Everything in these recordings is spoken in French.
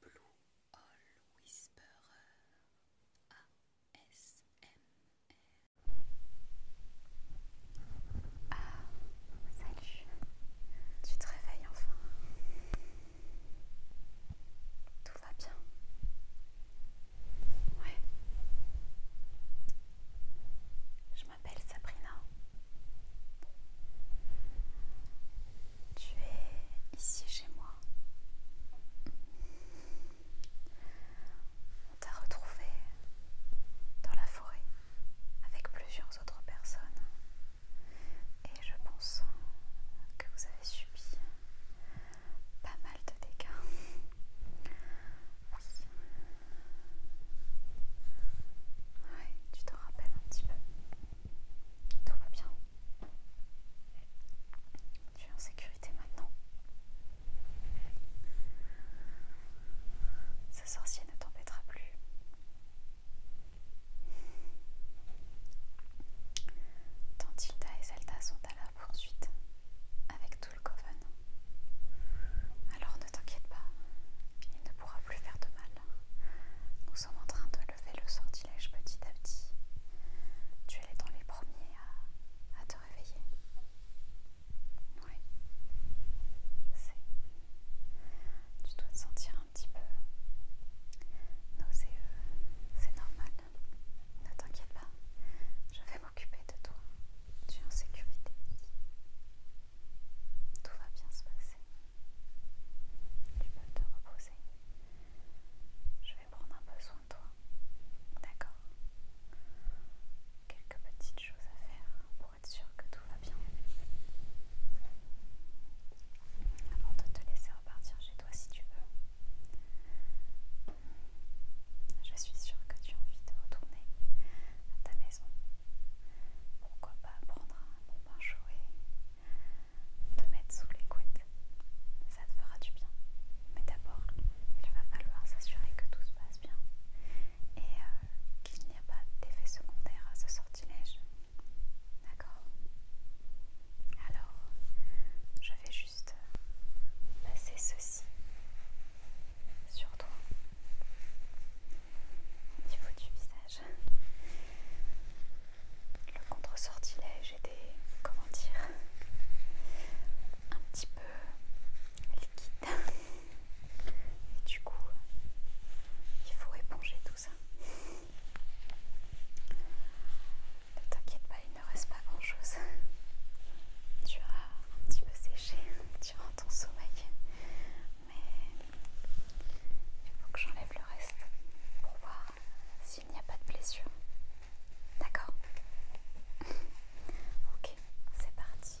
Blue Whisperer Ah, salut, tu te réveilles enfin. Tout va bien. Ouais. Je m'appelle Sabrina. Tu es ici chez moi. On t'a retrouvé dans la forêt avec plusieurs autres personnes. Et je pense que vous avez subi pas mal de dégâts. Oui. Oui, tu te rappelles un petit peu. Tout va bien. Tu es en sécurité maintenant. Ce sorcier ne t'embêtera plus. Tantilda et Zelda sont à la poursuite avec tout le coven. Alors ne t'inquiète pas, il ne pourra plus faire de mal. Nous sommes en train de lever le sortilège petit à petit. Tu es dans les premiers à, à te réveiller. Oui. Tu dois te sentir un petit peu nauséeux. C'est normal. Ne t'inquiète pas. Je vais m'occuper de toi. Tu es en sécurité. Tout va bien se passer. Tu peux te reposer. Je vais prendre un peu soin de toi. D'accord Quelques petites choses à faire pour être sûr que tout va bien. Avant de te laisser repartir chez toi si tu veux. Je suis sûre que tu as envie de retourner à ta maison. Pourquoi pas prendre un bon bain chaud et te mettre sous les couettes. Ça te fera du bien. Mais d'abord, il va falloir s'assurer que tout se passe bien et euh, qu'il n'y a pas d'effet secondaire à ce sortilège. D'accord Alors, je vais juste euh, passer ceci sur toi au niveau du visage le contre-sortilège était, comment dire, un petit peu liquide. Et du coup, il faut éponger tout ça. Ne t'inquiète pas, il ne reste pas grand-chose. Tu as un petit peu séché durant ton sommeil, mais il faut que j'enlève le reste pour voir s'il n'y a pas de blessure. D'accord Ok, c'est parti.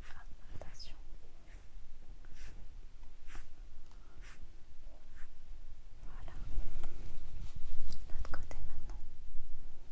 fragmentation. Voilà. L'autre côté maintenant. Voilà.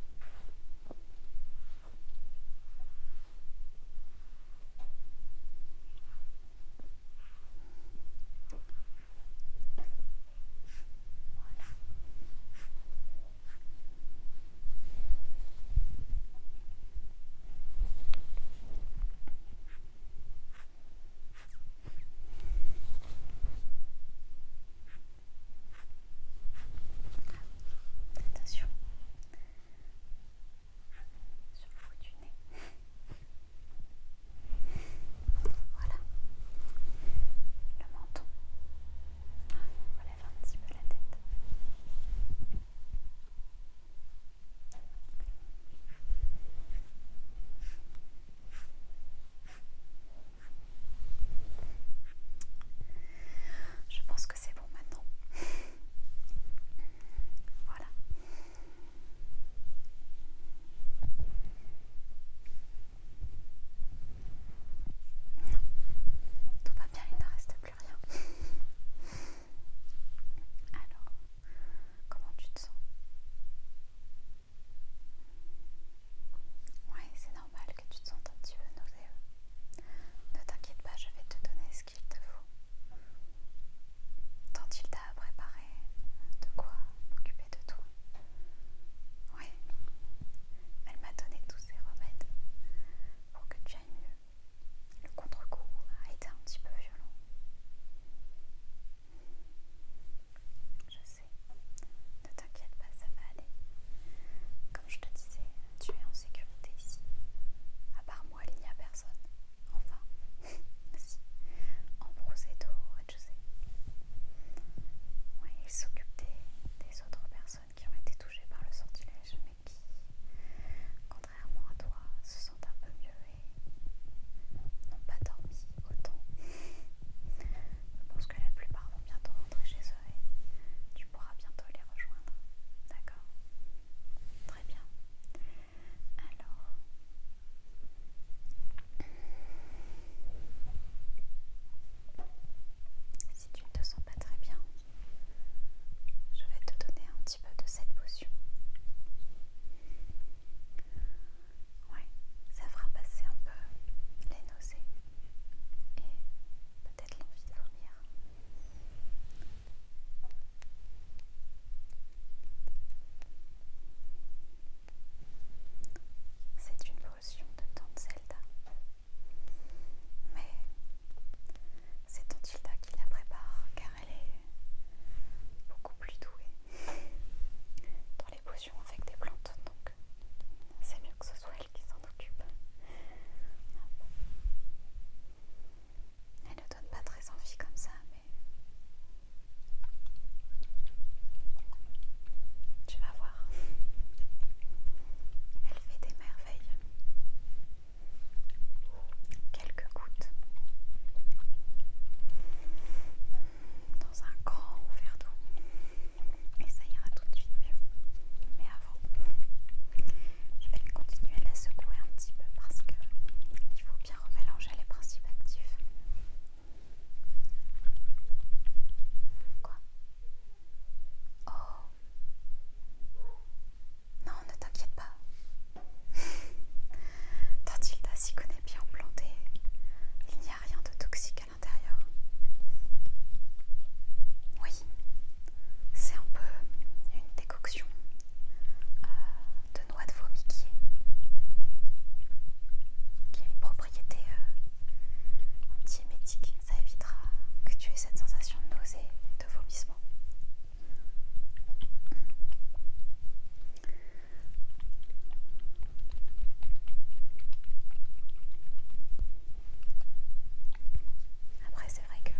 Attention sur le bout du nez. voilà. Le menton. On relève un petit peu la tête. Je pense que c'est bon maintenant. voilà. Tout va bien, il ne reste rien. Alors, comment tu te sens Ouais, c'est normal que tu te sentes un petit peu nauséeux. Ne t'inquiète pas, je vais te donner ce qu'il te faut. Tant il t'a préparé de quoi m'occuper de toi. Oui, elle m'a donné tous ses remèdes pour que tu ailles mieux le contre-coup a été un petit peu violent. Je sais, ne t'inquiète pas, ça va aller. Comme je te disais, tu es en sécurité ici. À part moi, il n'y a personne. Enfin, si, En est au sais. il s'occupe des, autres personnes qui ont été touchées par le sortilège, qui, contrairement à toi, se sentent un peu mieux et n'ont pas dormi autant. Je pense que la plupart vont bientôt rentrer chez eux et tu pourras bientôt les rejoindre. D'accord Très bien. Alors... Si tu ne te sens pas très bien, je vais te donner un petit peu de cette potion. Oui, ça fera passer un peu les nausées et peut-être l'envie de vomir. C'est une potion de Tante Zelda. Mais c'est Tante Zelda qui la prépare elle est beaucoup plus douée dans les potions avec des plantes, donc c'est mieux que ce soit elle qui s'en occupe. Elle ne donne pas très envie comme ça, mais tu vas voir. Elle fait des merveilles quelques gouttes dans un grand verre d'eau et ça ira tout de suite mieux. Mais avant, je vais continuer à la secouer un petit peu parce qu'il faut bien remélanger les principes actifs. Quoi Oh non, ne t'inquiète pas. Tantilda s'y connaît bien planté. Il n'y a rien de toxique à l'intérieur. Oui, c'est un peu une décoction euh, de noix de vomi qui a une propriété euh, antiémétique. Ça évitera que tu aies cette sensation de nausée et de vomissement. Après, c'est vrai que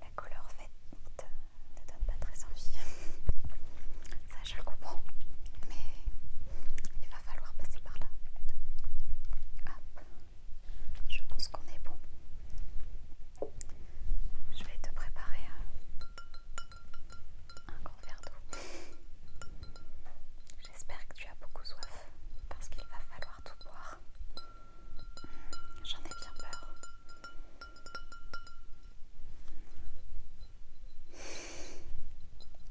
la couleur faite ne donne pas très envie. Ça, je le comprends. Mais il va falloir passer par là. Hop. Je pense qu'on est bon. Je vais te préparer un, grand verre d'eau. J'espère que tu as beaucoup soif parce qu'il va falloir tout boire. J'en ai bien peur.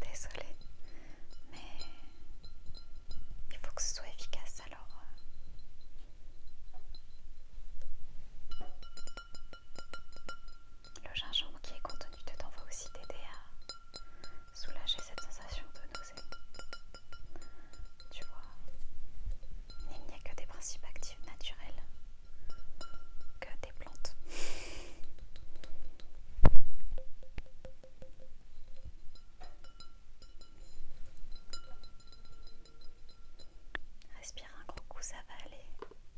Désolée, mais il faut que ce soit efficace alors. Euh, le gingembre qui est contenu dedans va aussi t'aider à soulager cette sensation de nausée. Tu vois, il n'y a que des principes actifs naturels, que des plantes. Respire un gros coup, ça va aller.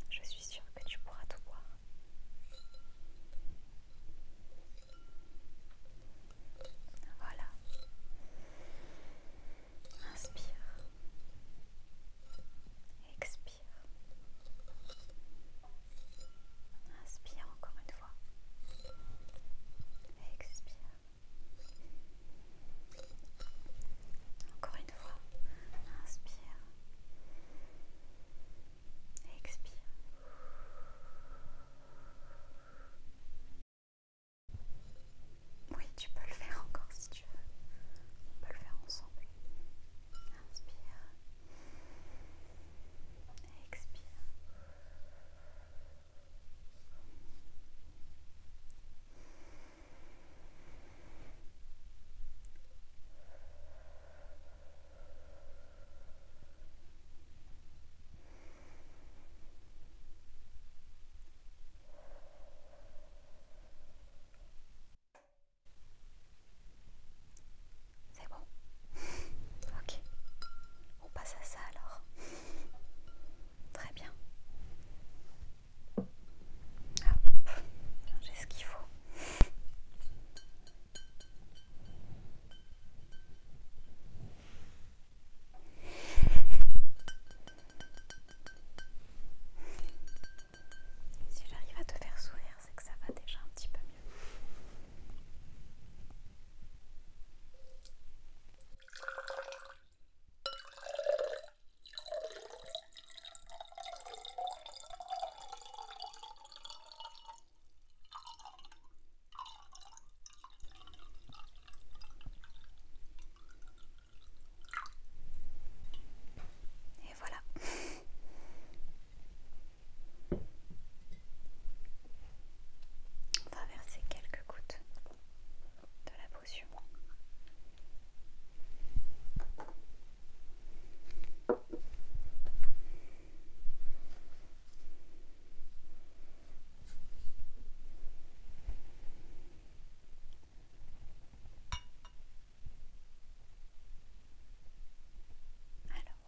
Je suis sûre que tu pourras tout boire. Voilà. Inspire. Expire. Inspire encore une fois. Expire. Encore une fois, inspire, expire. Oui, tu peux le faire encore si tu veux. On peut le faire ensemble. Inspire. Expire. C'est bon. ok. On passe à ça alors. Très bien. J'ai ce qu'il faut. Si j'arrive à te faire sourire, c'est que ça va déjà un petit peu mieux. Et voilà. On va verser quelques gouttes de la potion. Alors.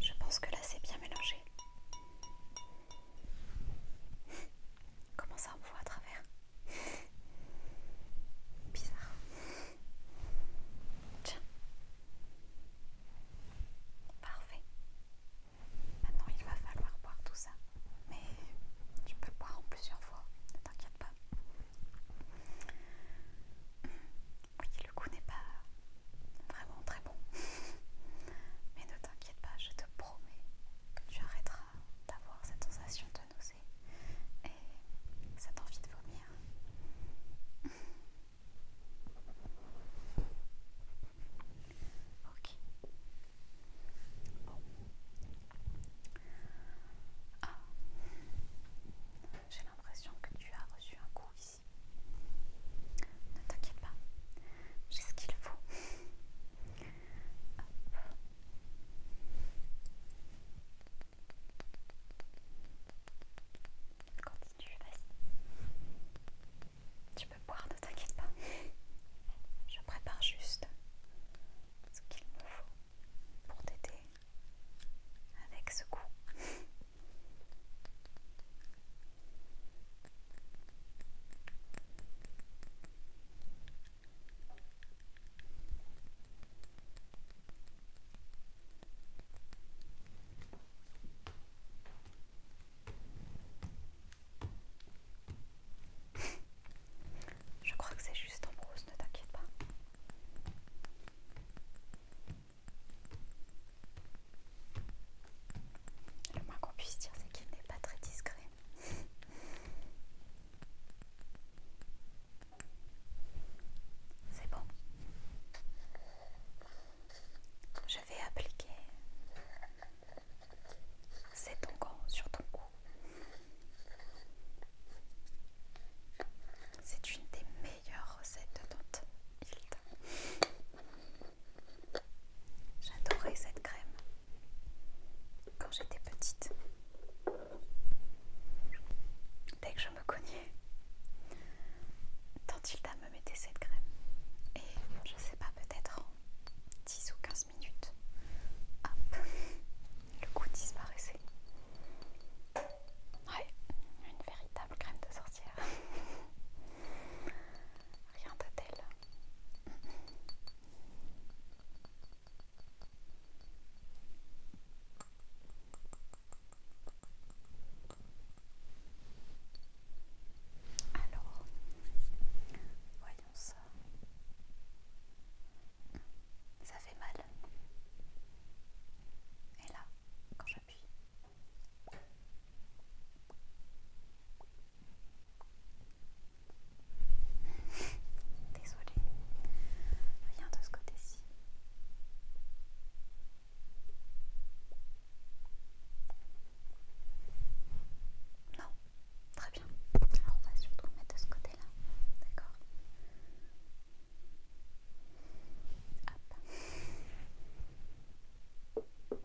Je pense que là c'est bien mélangé. Comment ça on voit à travers Bizarre. Tiens. Parfait. Maintenant il va falloir boire tout ça. Mais tu peux boire en plusieurs fois, ne t'inquiète pas. Oui, le goût n'est pas vraiment très bon. Mais ne t'inquiète pas, je te promets que tu arrêteras d'avoir cette sensation de nausée et cette envie de vomir. ok. Bon. Ah. J'ai l'impression que tu as reçu un coup ici. Ne t'inquiète pas, j'ai ce qu'il faut. Tu peux boire, ne t'inquiète pas. Je prépare juste ce qu'il me faut pour t'aider avec ce coup. Je crois que c'est juste en brousse, ne t'inquiète pas. Le moins qu'on puisse dire, c'est qu'il n'est pas très discret. C'est bon. Je vais appliquer cet onguent sur ton cou. C'est une des meilleures recettes de ton il J'adorais cette crème quand j'étais petite. Dès que je me cognais, Tantilda me mettait cette crème. Et je sais pas, peut-être en 10 ou 15 minutes, hop, le goût disparaissait. Ouais, une véritable crème de sorcière. Rien de alors, voyons ça. Ça fait mal. Et là, quand j'appuie. Désolée, rien de ce côté-ci. Non, très bien. Alors on va surtout le mettre de ce côté-là, d'accord Hop.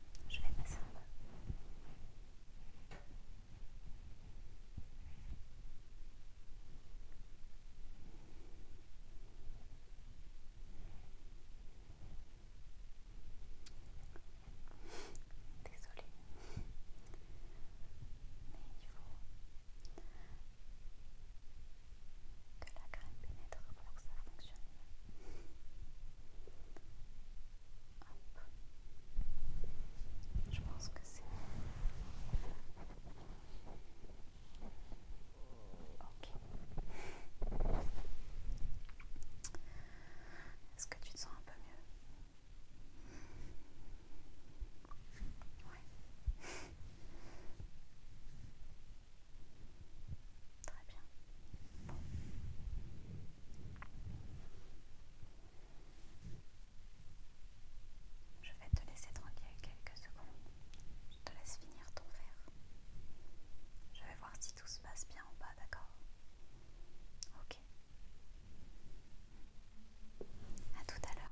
Je vais passer en Désolée, mais il faut que la crème pénètre pour que ça fonctionne. Je pense que c'est Ok. Est-ce que tu te sens un peu mieux Très bien. Je vais te laisser tranquille quelques secondes. Je te laisse finir ton verre. Je vais voir si tout se passe bien en bas, d'accord Ok. À tout à l'heure.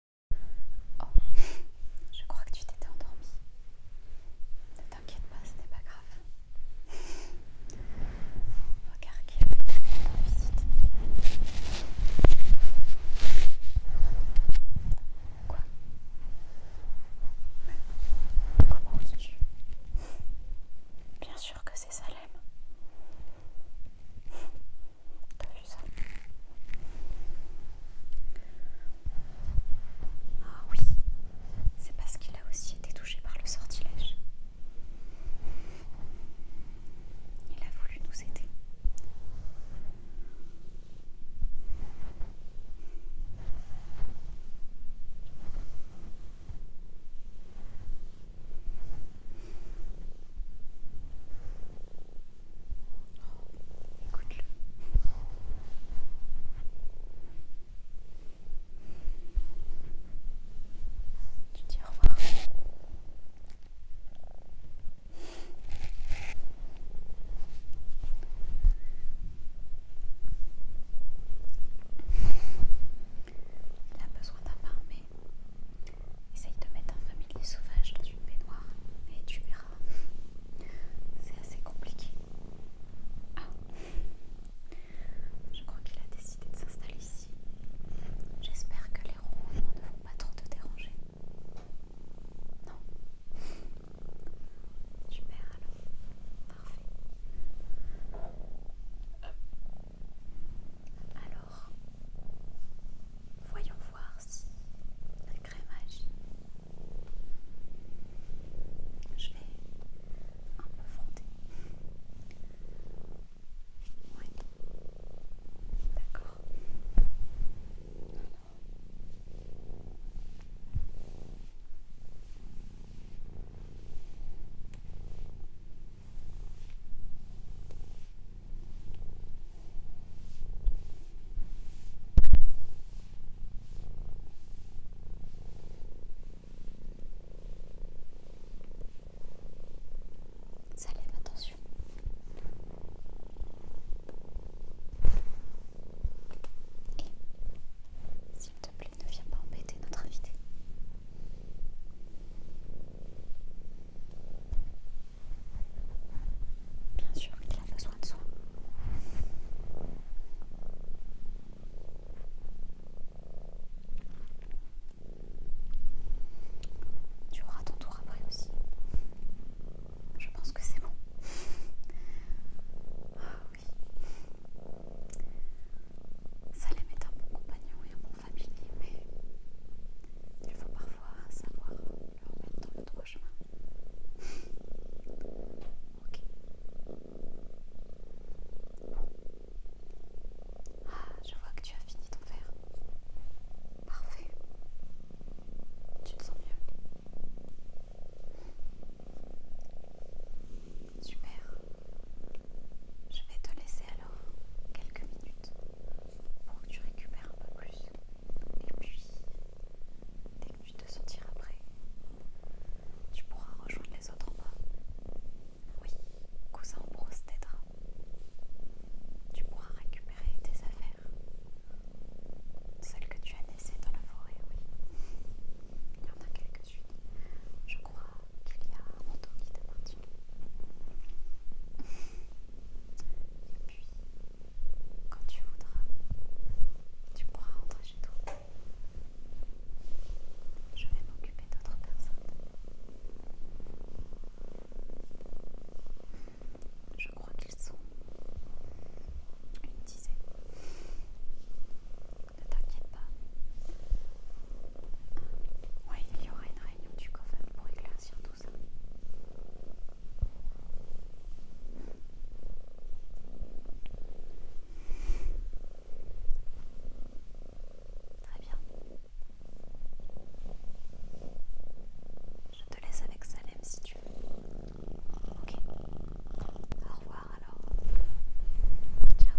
Oh, je crois que tu t'étais endormi. Ne t'inquiète pas, ce n'est pas grave. Regarde qui est visite. Quoi comment oses-tu Bien sûr que c'est Salem. Ah oui, c'est parce qu'il a aussi été touché par le sortilège. Il a voulu nous aider. Écoute-le. Tu dis au revoir. Il a besoin d'un parfum, Essaye de mettre un familier sauvage dans une baignoire et tu verras. C'est assez compliqué. Ah. Je crois qu'il a décidé de s'installer ici. J'espère que les rouges ne vont pas trop te déranger. Non Super alors. Parfait. Alors, voyons voir si la crème agit. Je vais un peu frotter. Oui. D'accord. Ça attention. Et s'il te plaît, ne viens pas embêter notre invité. Bien sûr qu'il a besoin de soins. Tu auras ton tour après aussi. Je pense que c'est bon. Ah oui. Salem est un bon compagnon et un bon familier, mais il faut pas savoir le remettre dans le droit chemin. ok. Ah, je vois que tu as fini ton verre. Parfait. Tu te sens mieux. Super. Je vais te laisser alors quelques minutes pour que tu récupères un peu plus. Et puis, dès que tu te sentiras prêt, tu pourras rejoindre les autres en bas. Oui, cousin Brosse t'aidera. Hein. Tu pourras récupérer tes affaires, celles que tu as laissées dans la forêt, oui. Il y en a quelques-unes. Je crois qu'il y a un manteau qui t'appartient. Et puis, quand tu voudras, tu pourras rentrer chez toi. Je vais m'occuper d'autres personnes. Je crois qu'ils sont une dizaine. Ne t'inquiète pas. Oui, il y aura une réunion du Coven pour éclairer ça. Très bien. Je te laisse avec Salem si tu veux. Ok. Au revoir alors. Ciao.